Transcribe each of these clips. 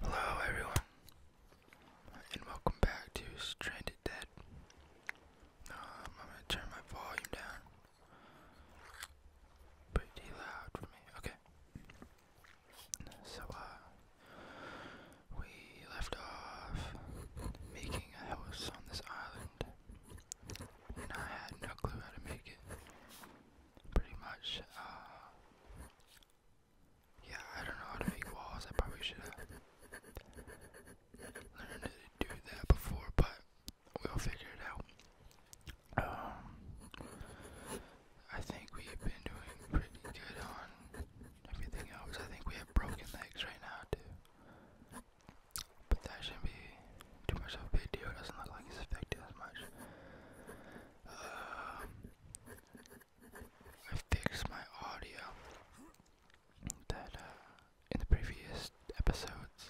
Hello, everyone, and welcome back to Stranded Dead. Um, I'm gonna turn my volume down pretty loud for me. Okay. So, uh, we left off making a house on this island, and I had no clue how to make it pretty much. Uh, yeah, I don't know how to make walls. I probably should have learned to do that before, but we'll figure it out. Um, I think we've been doing pretty good on everything else. I think we have broken legs right now, too. But that shouldn't be too much of a big deal. doesn't look like it's affected as much. Um, I fixed my audio that uh, in the previous episodes,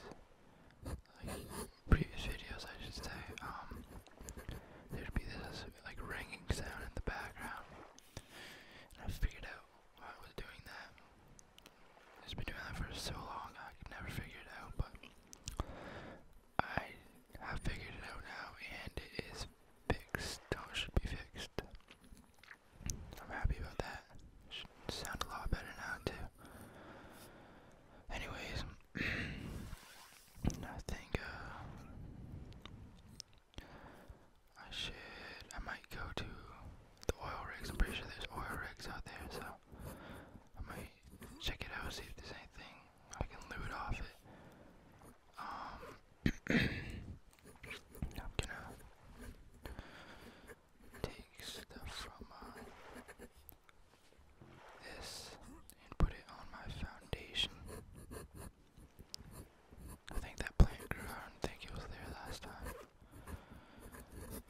previous videos, I should say, um, there'd be this like ringing sound in the background. I figured out why I was doing that. It's been doing that for so long, I could never figure it out, but I have figured it out now, and it is fixed. Oh, should be fixed. I'm happy about that. Should sound a lot better now too. Anyways, I think uh, I should. I might go to the oil rigs. I'm pretty sure there's oil rigs out there, so I might check it out, see if there's anything I can loot off it. Um, I'm gonna take stuff from uh, this and put it on my foundation. I think that plant grew. I don't think it was there last time.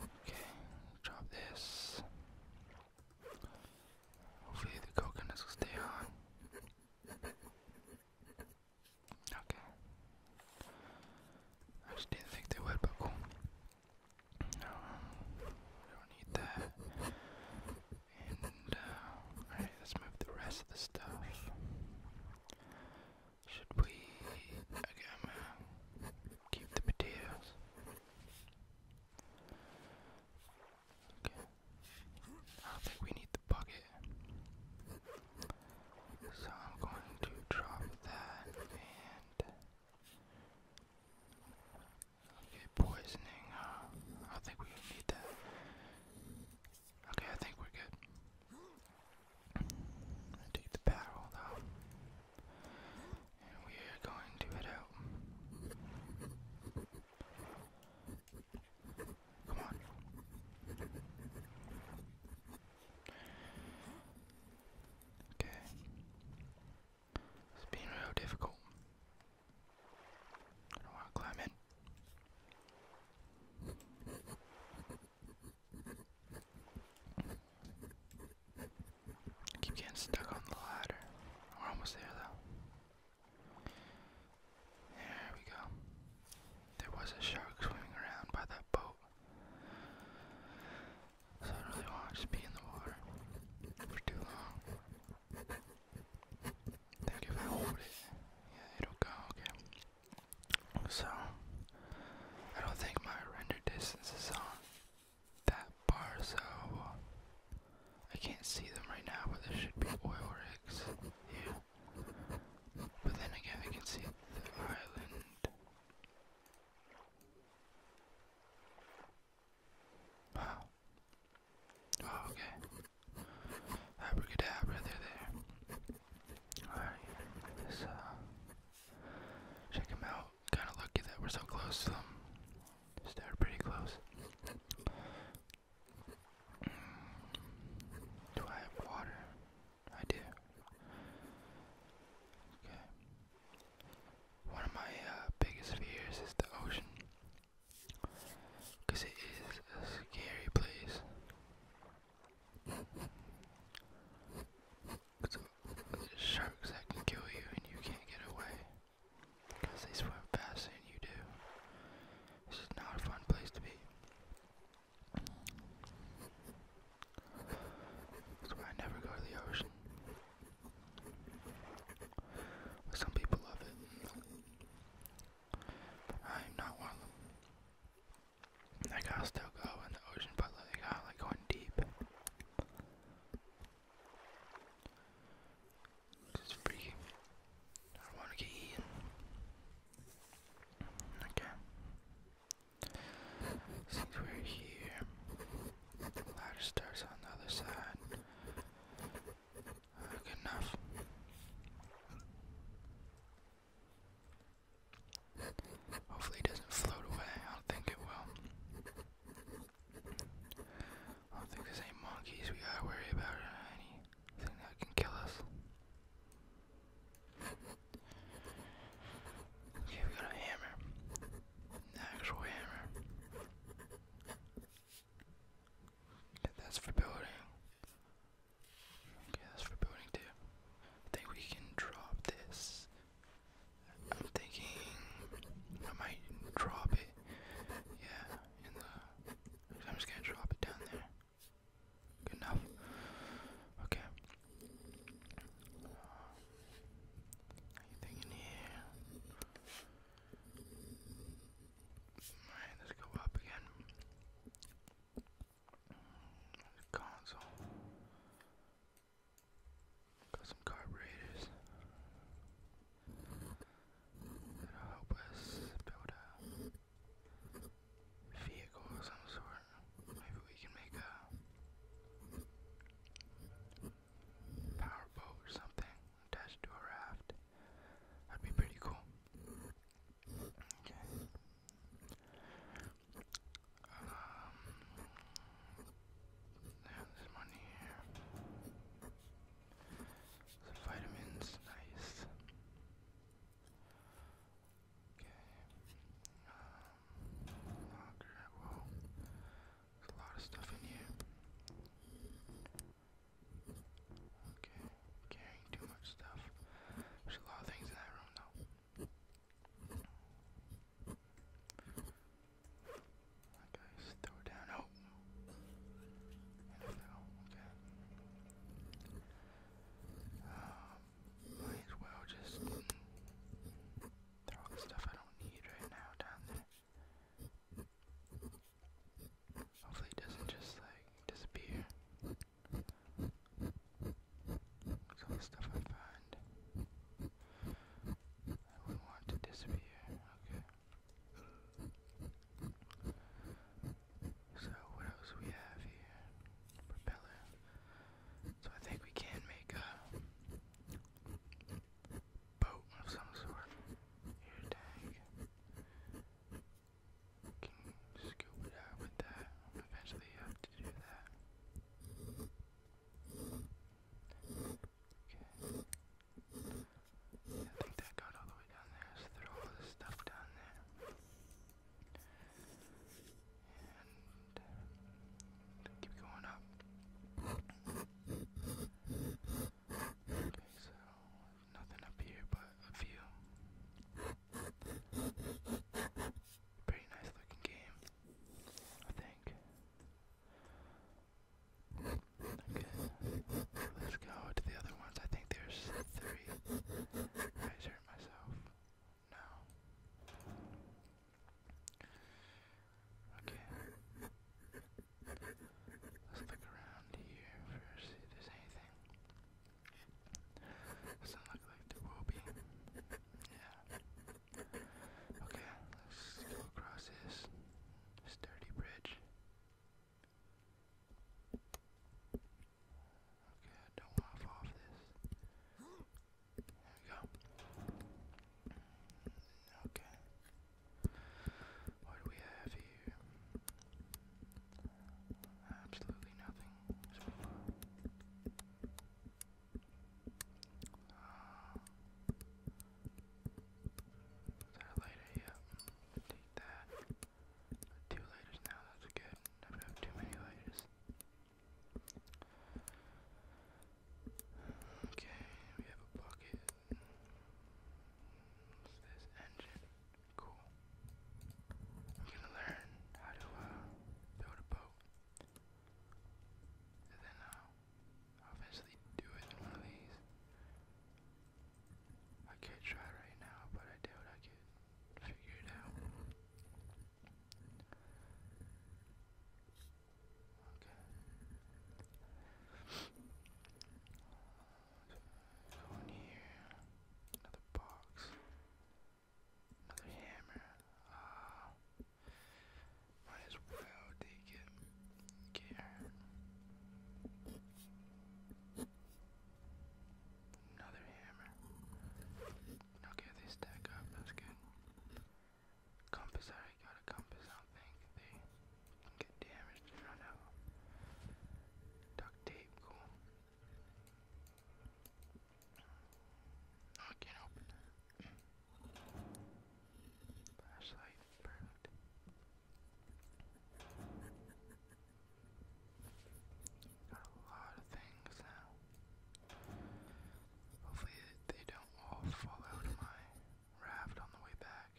Okay, drop this. Hopefully the coconuts will stay on. Okay. I just didn't think they would, but cool. No, don't need that. And, uh, let's move the rest of the stuff. Should we, okay, keep the potatoes. Okay. I don't think we need the bucket. So I'm going to drop that Okay, poisoning, I don't think we need that. Okay, I think we're good. take the paddle now and we are going to head out. Come on. Okay. It's being real difficult. I don't want to climb in. Keep getting stuck on the ladder. We're almost there though. There we go. There was a shark swimming around by that boat. I really want to just be in the water for too long. I think if I yeah, it'll go, okay. So, I don't think my render distance is on that bar, so I can't see them right now, but there should be oil rigs here. But then again, I can see the island. Wow. Oh, okay. Abracadabra, they're there. Alright, let's uh, check them out kind of lucky that we're so close to them. They're pretty close. Mm. Do I have water? I do. Okay. One of my uh, biggest fears is the ocean. Because it is a scary place sharks that can kill you and you can't get away because they swim faster than you do. This is not a fun place to be. That's why I never go to the ocean. some people love it. I am not one of them. I'll still go in the ocean, but I like going deep. It's is freaky. I want to get eaten. Okay. Since we're here, ladder starts on the other side. good enough. Hopefully, it doesn't float away. I don't think it will. I don't think there's any monkeys we gotta worry about anything that can kill us. Okay, we got a hammer. An actual hammer. Okay, that's for building. Okay, that's for building too. I think we can drop this I'm thinking I might drop it. Yeah, I'm just gonna drop it down there. Good enough. Okay. anything in here? Alright, let's go up again. console. Got some carburetors. That'll help us build a vehicle of some sort. Maybe we can make a power or something attached to a raft. That'd be pretty cool. Okay. Um, there's money here. The vitamins, nice. Okay. Um, locker, whoa. There's a lot of stuff in here. Okay, carrying too much stuff. There's a lot of things in that room though. That guy's throw down. Oh. And I fell. Okay. might as well just throw the stuff I don't need right now down there. Hopefully it doesn't just like disappear. all the stuff I find. I want to disappear. Okay. So what else we have here? Propeller. So I think we can make a boat of some sort. Air tank. Can scoop it out with that. Eventually have to do that. Okay. I think that got all the way down there. throw all this stuff down there. And uh, uh, keep going up. Okay, so nothing up here but a view. Pretty nice looking game. I think. Okay, let's go to the other ones. I think there's three. I just myself. No. Okay. Let's look around here first, see if there's anything. Doesn't look like there will Yeah. Okay, let's go across this sturdy bridge. Okay, don't fall off this. There we go. Okay. What do we have here? Absolutely nothing. Is there Yep. Take that. Two lighters now, that's good. I have too many lighters. Okay, we have a bucket. What's this? Engine. Cool. I'm gonna learn how to build a boat then I'll eventually do it in one of these. I could try right now, but I doubt I can figure it out. Okay. So here, another box. Another hammer. Uh, might as well take it. Another hammer. Okay, they stack up. That's good. Compass. I got a compass. I don't think they get damaged. I don't know. Duct tape. Cool. I can't open that. Flashlight, perfect. Got a lot of things now. Hopefully they don't all fall out of my raft on the way back.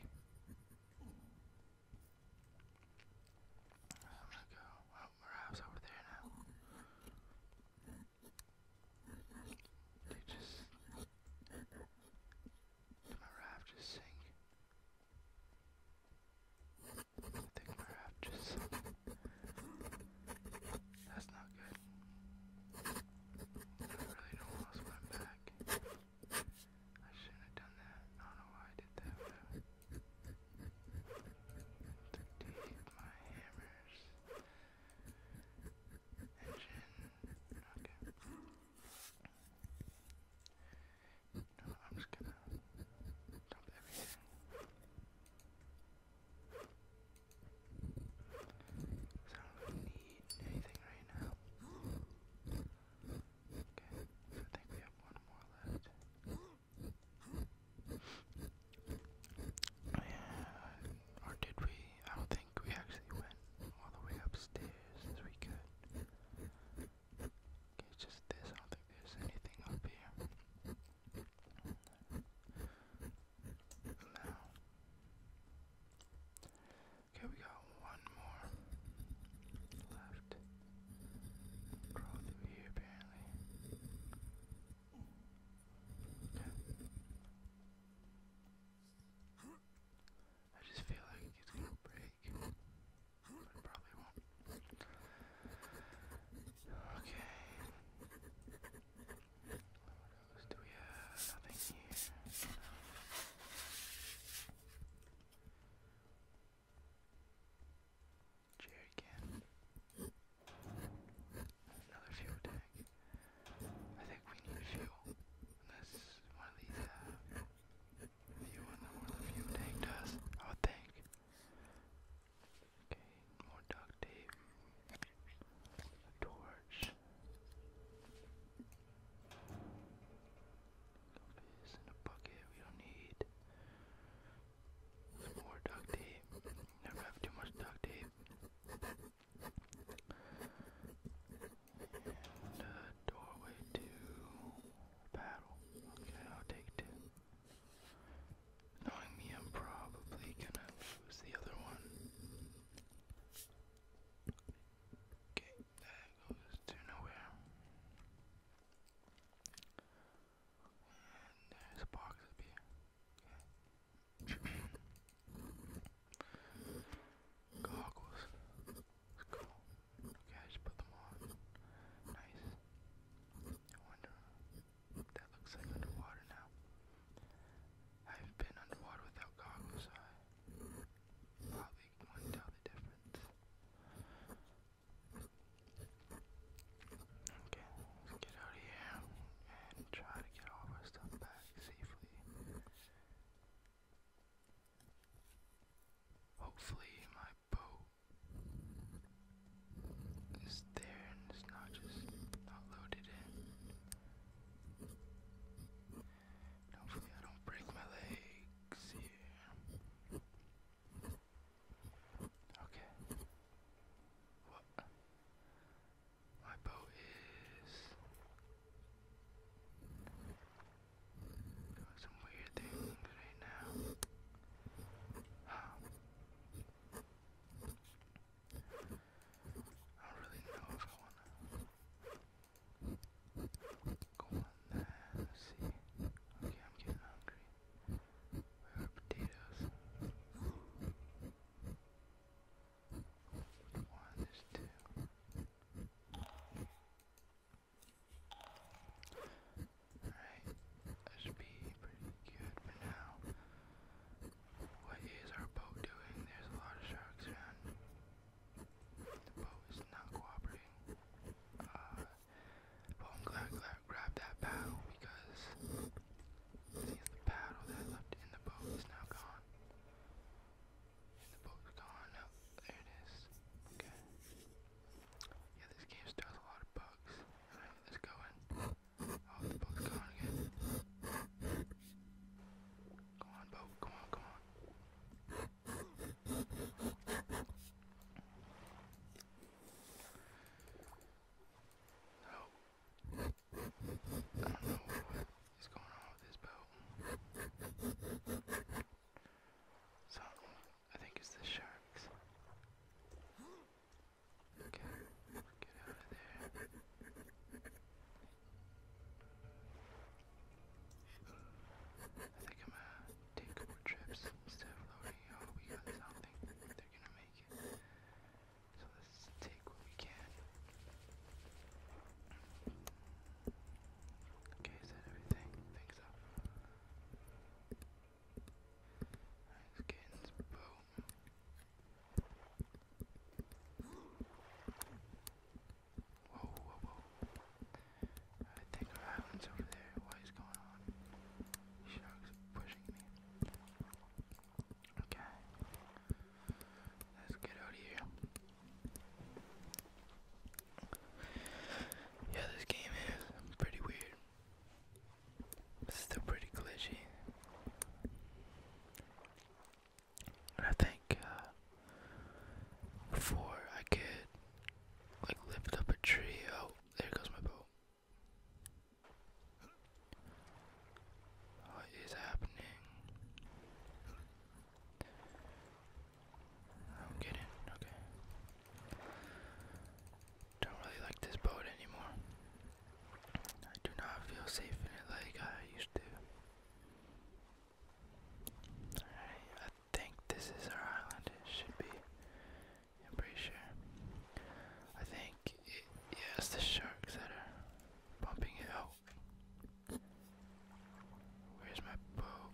I'm gonna go. Oh, my raft's over there now. They just... my raft just sink? I think my raft just That's not good. I really don't want to swim back. I shouldn't have done that. I don't know why I did that, but... To take my hammers Okay. No, I'm just gonna dump everything. I don't need anything right now. Okay, I think we have one more left. Oh, yeah. Or did we? I don't think we actually went all the way upstairs as we could. Okay, just this. I don't think there's anything up here. Now. Okay, we got one more left. Crawl through here, apparently. I just feel like it's gonna break, but it probably won't. Okay. What else do we have? Nothing here. No. Jerry can. Another fuel tank. I think we need fuel. Unless one of these uh, fuel one of the fuel tank does, I Okay, more duct tape. A torch. Compass and a bucket we don't need. more duct tape. Never have too much duct tape. And uh, doorway to battle. Okay, I'll take two. Knowing me, I'm probably gonna lose the other one. Okay, that goes to nowhere. there's a box up here. Goggles. Let's go. Okay, I just put them on. Nice. I wonder that looks like underwater now. I've been underwater without goggles, so I probably wouldn't tell the difference. Okay, let's get out of here and try to get all our stuff back safely. Hopefully, my boat is there and it's not just not loaded in. hopefully, I don't break my legs Okay. What? My boat is doing some weird things right now. Um, I don't really know if I wanna go on there. see. Okay, I'm getting hungry. Where are potatoes? One, there's two. Alright, that should be pretty good for now. What is our boat doing? There's a lot of sharks around. The boat is not cooperating. Uh, well, I'm glad, glad grab that paddle because the paddle that left in the boat is now gone. the boat's gone. there it is. Okay. Yeah, this game still a lot of bugs. Alright, let's go in. Oh, the boat gone again. Go on, boat. Come on, come on. Oh, I don't know what is going on with this boat. So, I think it's the sharks. Okay, get out of there. I think I'm gonna take more trips instead of loading. Oh, we got something. They're gonna make it. So let's take what we can. Okay, is that everything? I think I think our island's over there. What is going on? Sharks pushing me. Okay. Let's get out of here. Yeah, this game is pretty weird. It's still pretty glitchy. I think uh, I could like lift up a tree. Oh, there goes my boat. What is happening? I'm getting okay. Don't really like this boat anymore. I do not feel safe in it like I used to. I think this is our island. It should be. I'm pretty sure. I think, it, it's the sharks that are bumping it out. Where's my boat?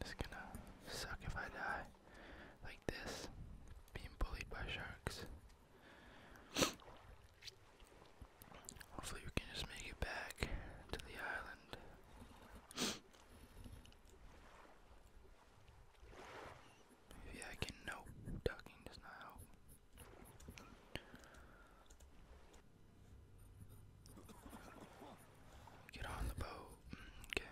It's gonna suck if I die like this, being bullied by sharks. Hopefully, we can just make it back to the island. Maybe I can. Nope, ducking does not help. Get on the boat. Okay.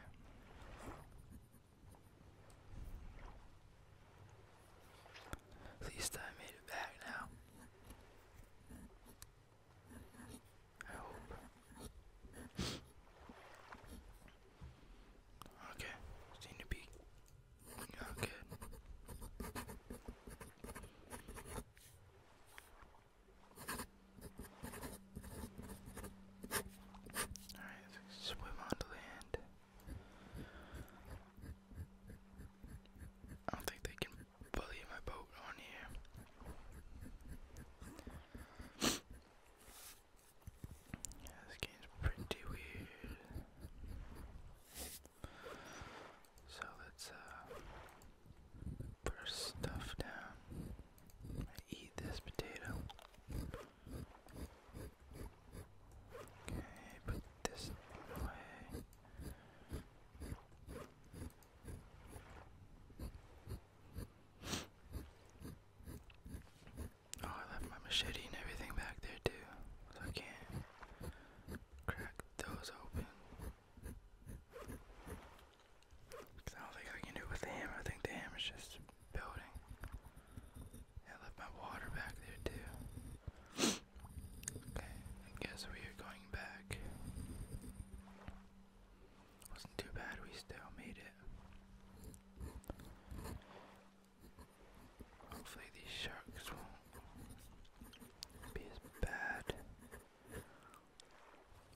least I made it back now. I hope. Okay, seem to be not Alright, swim on land. I don't think they can bully my boat on here. Yeah, this game's pretty weird. So let's uh stuff down. eat this potato. Okay, put this away. Oh, I left my machete and everything back there too. So I can crack those open. I don't think I can do it with the hammer. I think the hammer's just building. I left my water back there too. Okay, guess we are going back. Wasn't too bad, we still made it. Hopefully, these sharks won't be as bad,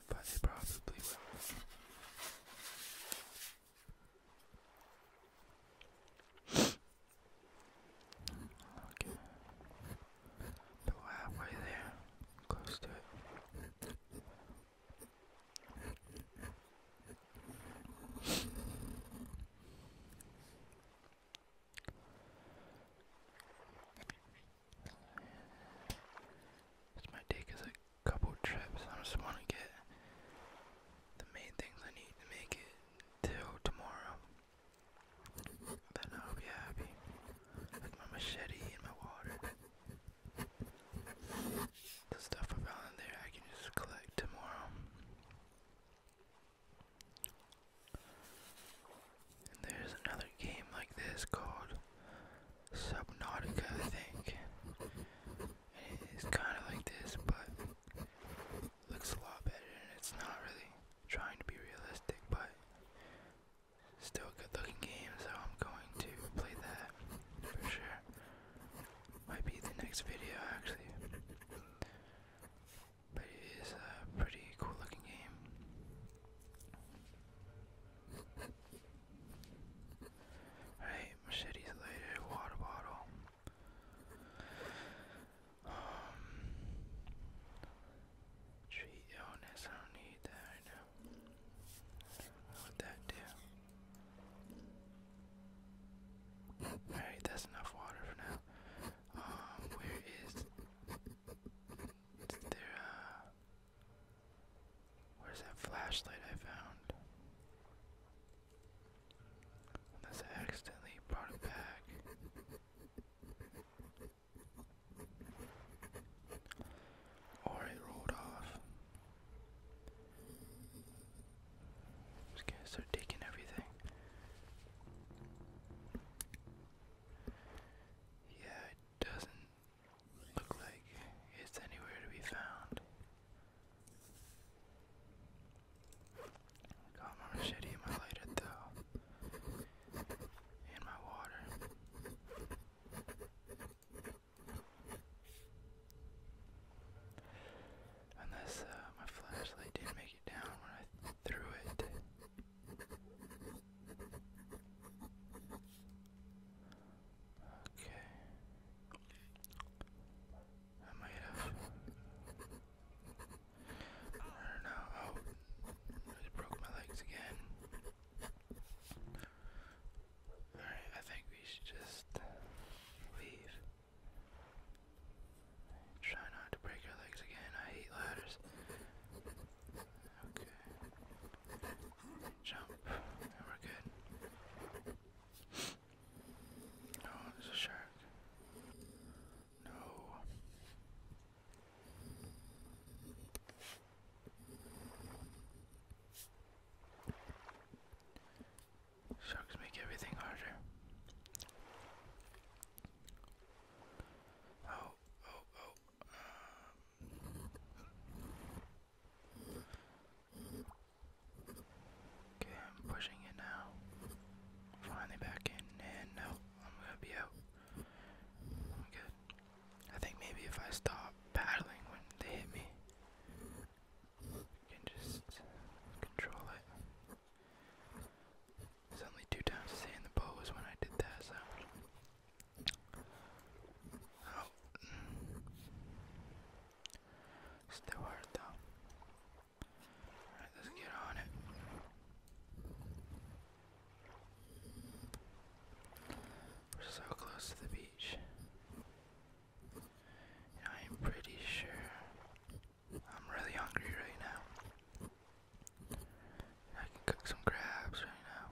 but they probably will. Okay, but halfway there, close to it. This might take us a couple trips. I just want to get the main things I need to make it till tomorrow. Then I'll be happy with my machete and my water. The stuff I found in there I can just collect tomorrow. there's another game like this called Subnautica, I think. it's kind of like this, but looks a lot better, and it's not really trying to be realistic, but Still a good looking game, so I'm going to play that for sure. Might be the next video actually. But it is a pretty cool looking game. Alright, machetes later, water bottle. Um, Treat illness, I don't need that right now. What would that do? Alright, that's enough water for now. Um, where is, there, uh, where's that flashlight I found? I accidentally brought it back. Or it rolled off. These guys are taking everything. Yeah, it doesn't look like it's anywhere to be found. Got my machete and my lighter though and my water. Unless uh, my flashlight didn't make it down when I threw it. Okay. I might have. I don't know. Oh, I just broke my legs again. Alright, I think we should just leave. Try not to break our legs again. I hate ladders. Okay. Jump. And we're good. Oh, there's a shark. No. Sharks make everything harder. Oh, oh, oh. Um. Okay, I'm pushing it now. Finally back in, and no, I'm gonna be out. I'm good. I think maybe if I stop paddling when they hit me, I can just control it. There's only two times to stay in the boat when I did that, so. Oh. Still hard though. Alright, let's get on it. We're so close to the beach. I am pretty sure I'm really hungry right now. I can cook some crabs right now.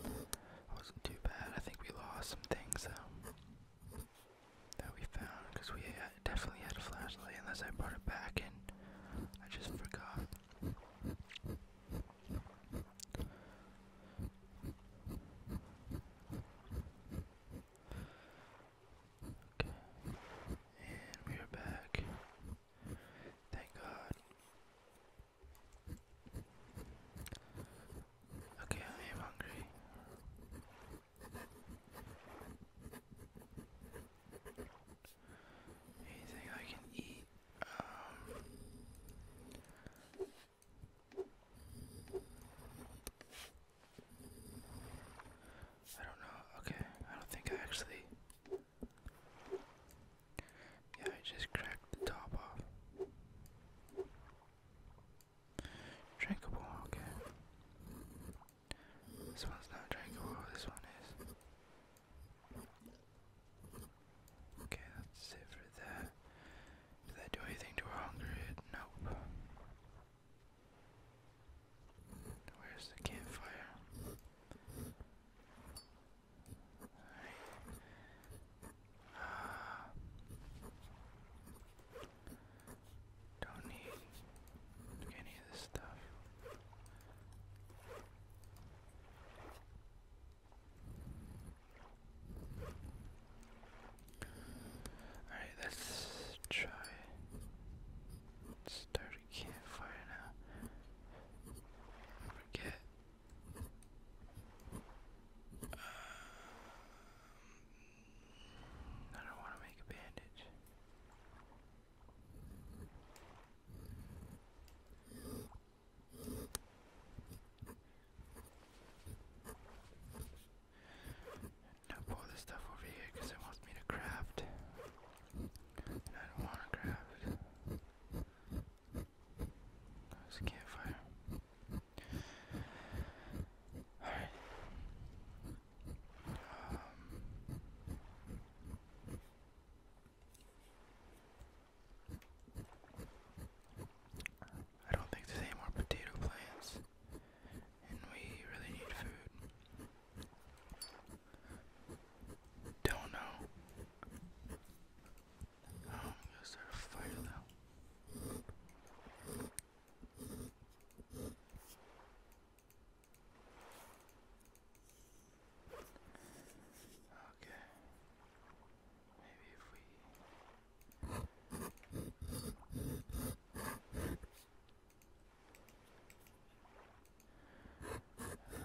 Okay. Wasn't too bad. I think we lost some things though that we found because we definitely had a flashlight unless I brought it back and I just forgot. Okay, and we are back. Thank God. Okay, I am hungry. Anything I can eat? Um, I don't know. Okay, I don't think I actually. Yeah, I just cracked the top off. Drinkable, okay. This one's not drinkable, this one is. Okay, that's it for that. Did that do anything to our hunger? nope. Where's the campfire? Alright. Ah. Don't need any of this stuff. Alright, let's try. Start a now. Forget. Um, I don't want to make a bandage. Now pull this stuff over here because it wants me to craft. I don't want to craft. There's campfire. I don't think there's any more potato plants, and we really need food. Don't know. I'm um, gonna start a fire though. Okay. Maybe if we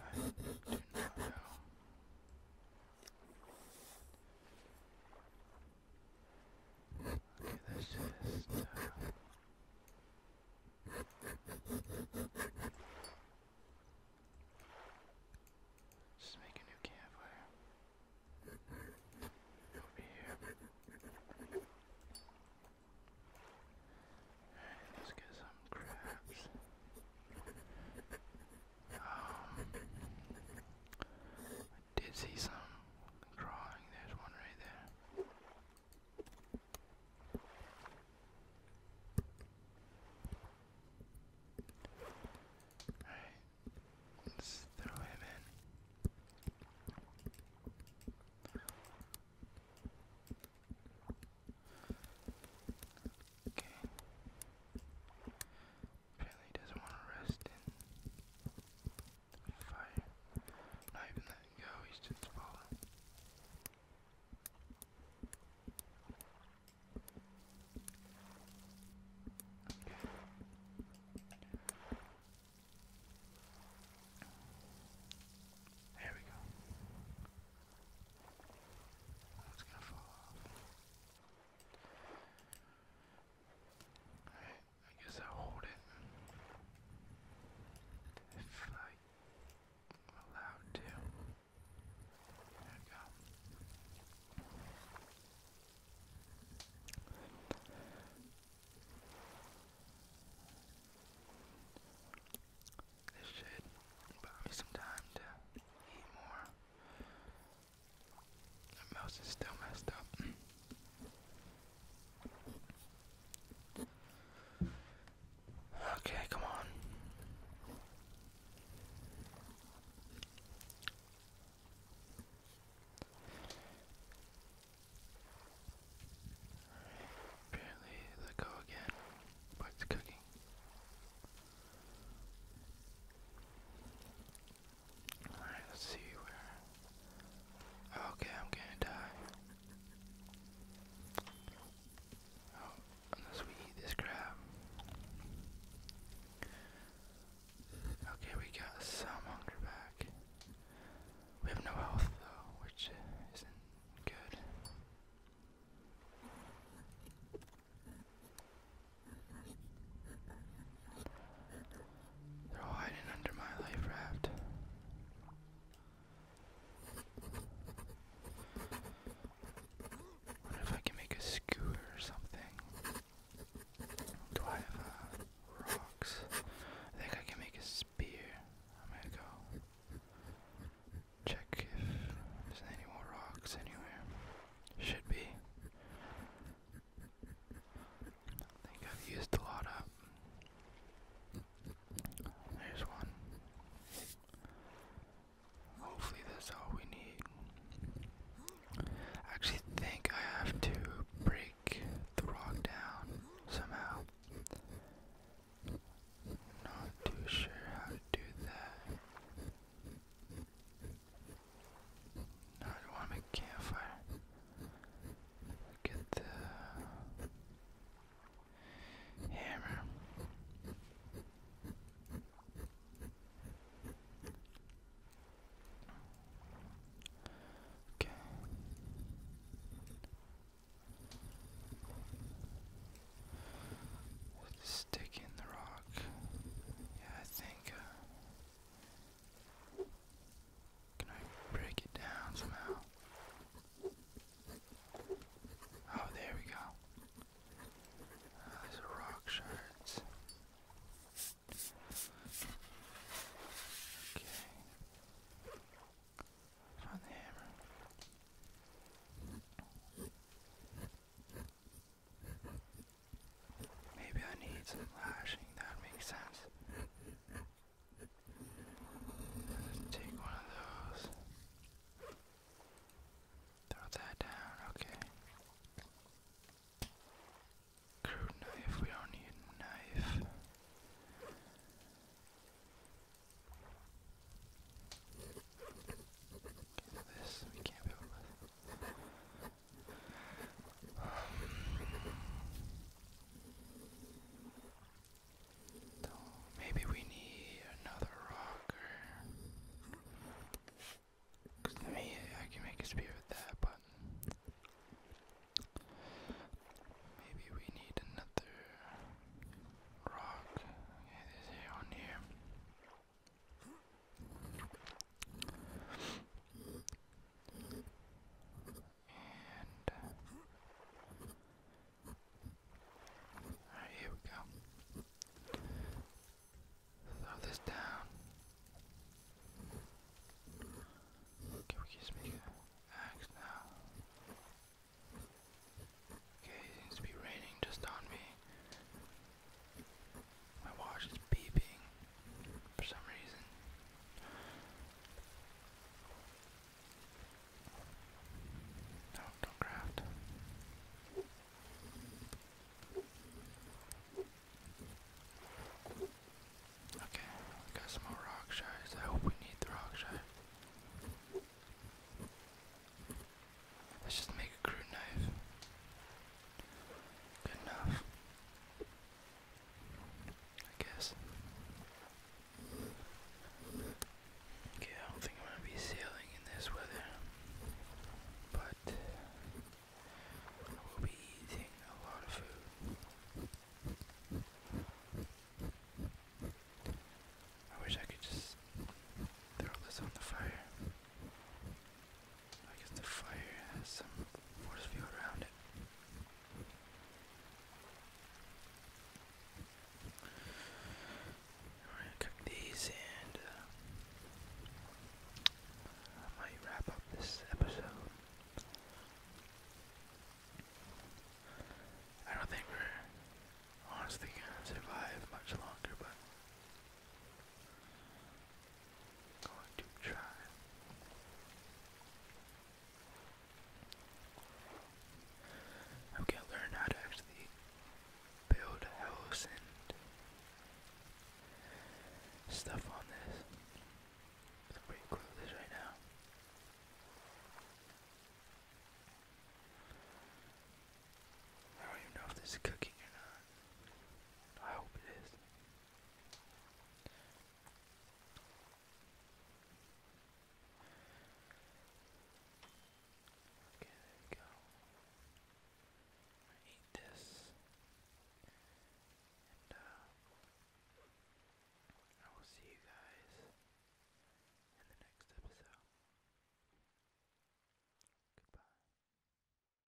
I do not know. Okay, that's just. make a new campfire. Over here. let's get some crabs. Um, did see some drawing. There's one right there. Alright, let's throw him in. Okay. Apparently doesn't want to rest in. Fire. Not even letting go, he's just falling. Okay. we go. It's gonna fall off. I guess I'll hold it. If I'm allowed to. There we go. This should buy me some time to eat more. The mouse is still messed up. Okay, come on. Apparently, let go again. What's cooking? let's see where. Okay, I'm gonna die. Oh, unless we eat this crab. Okay, we got some hunger back. We have no health though, which isn't good. They're all hiding under my life raft. What if I can make a scooter or something? Do I have uh, rocks? I think I can make a spear. I'm gonna go check if there's any more rocks anywhere. Should be. I think I've used a lot up. There's one. Hopefully that's all we need. actually think I have to break the rock down somehow. Not too sure how to do that. I don't want to make a campfire. Get the hammer. Okay. Stick in the rock. Yeah, I think. Uh, can I break it down somehow? Oh, there we go. Oh, these are rock shards. Okay. Find the hammer. Maybe I need some lashing, that makes sense. take one of those. Throw that down, okay. Crude knife, we don't need knife. this, we can't build with. So maybe we need another rocker. Cause I can make a spear with that, but maybe we need another rock. Okay, here on here. And all right, here we go. Throw this down. Can we just make an axe now? Okay, seems to be raining just on me. My watch is beeping for some reason. No, don't craft. Okay, got some more rock I hope we need the rock Let's just make a crew knife. Good enough. I guess. Okay, I don't think I'm gonna be sailing in this weather, but I will be eating a lot of food. I wish I could just throw this on the fire. I guess the fire has some force field around it. We're gonna cook these and uh, I might wrap up this episode. I don't think we're honestly gonna survive much longer, but Going to try. I'm gonna learn how to actually build a house and stuff on this. I'm pretty right now. I don't even know if this is cooking or not. I hope it is. Okay, there go. eat this, and uh, I will see you guys in the next episode. Goodbye.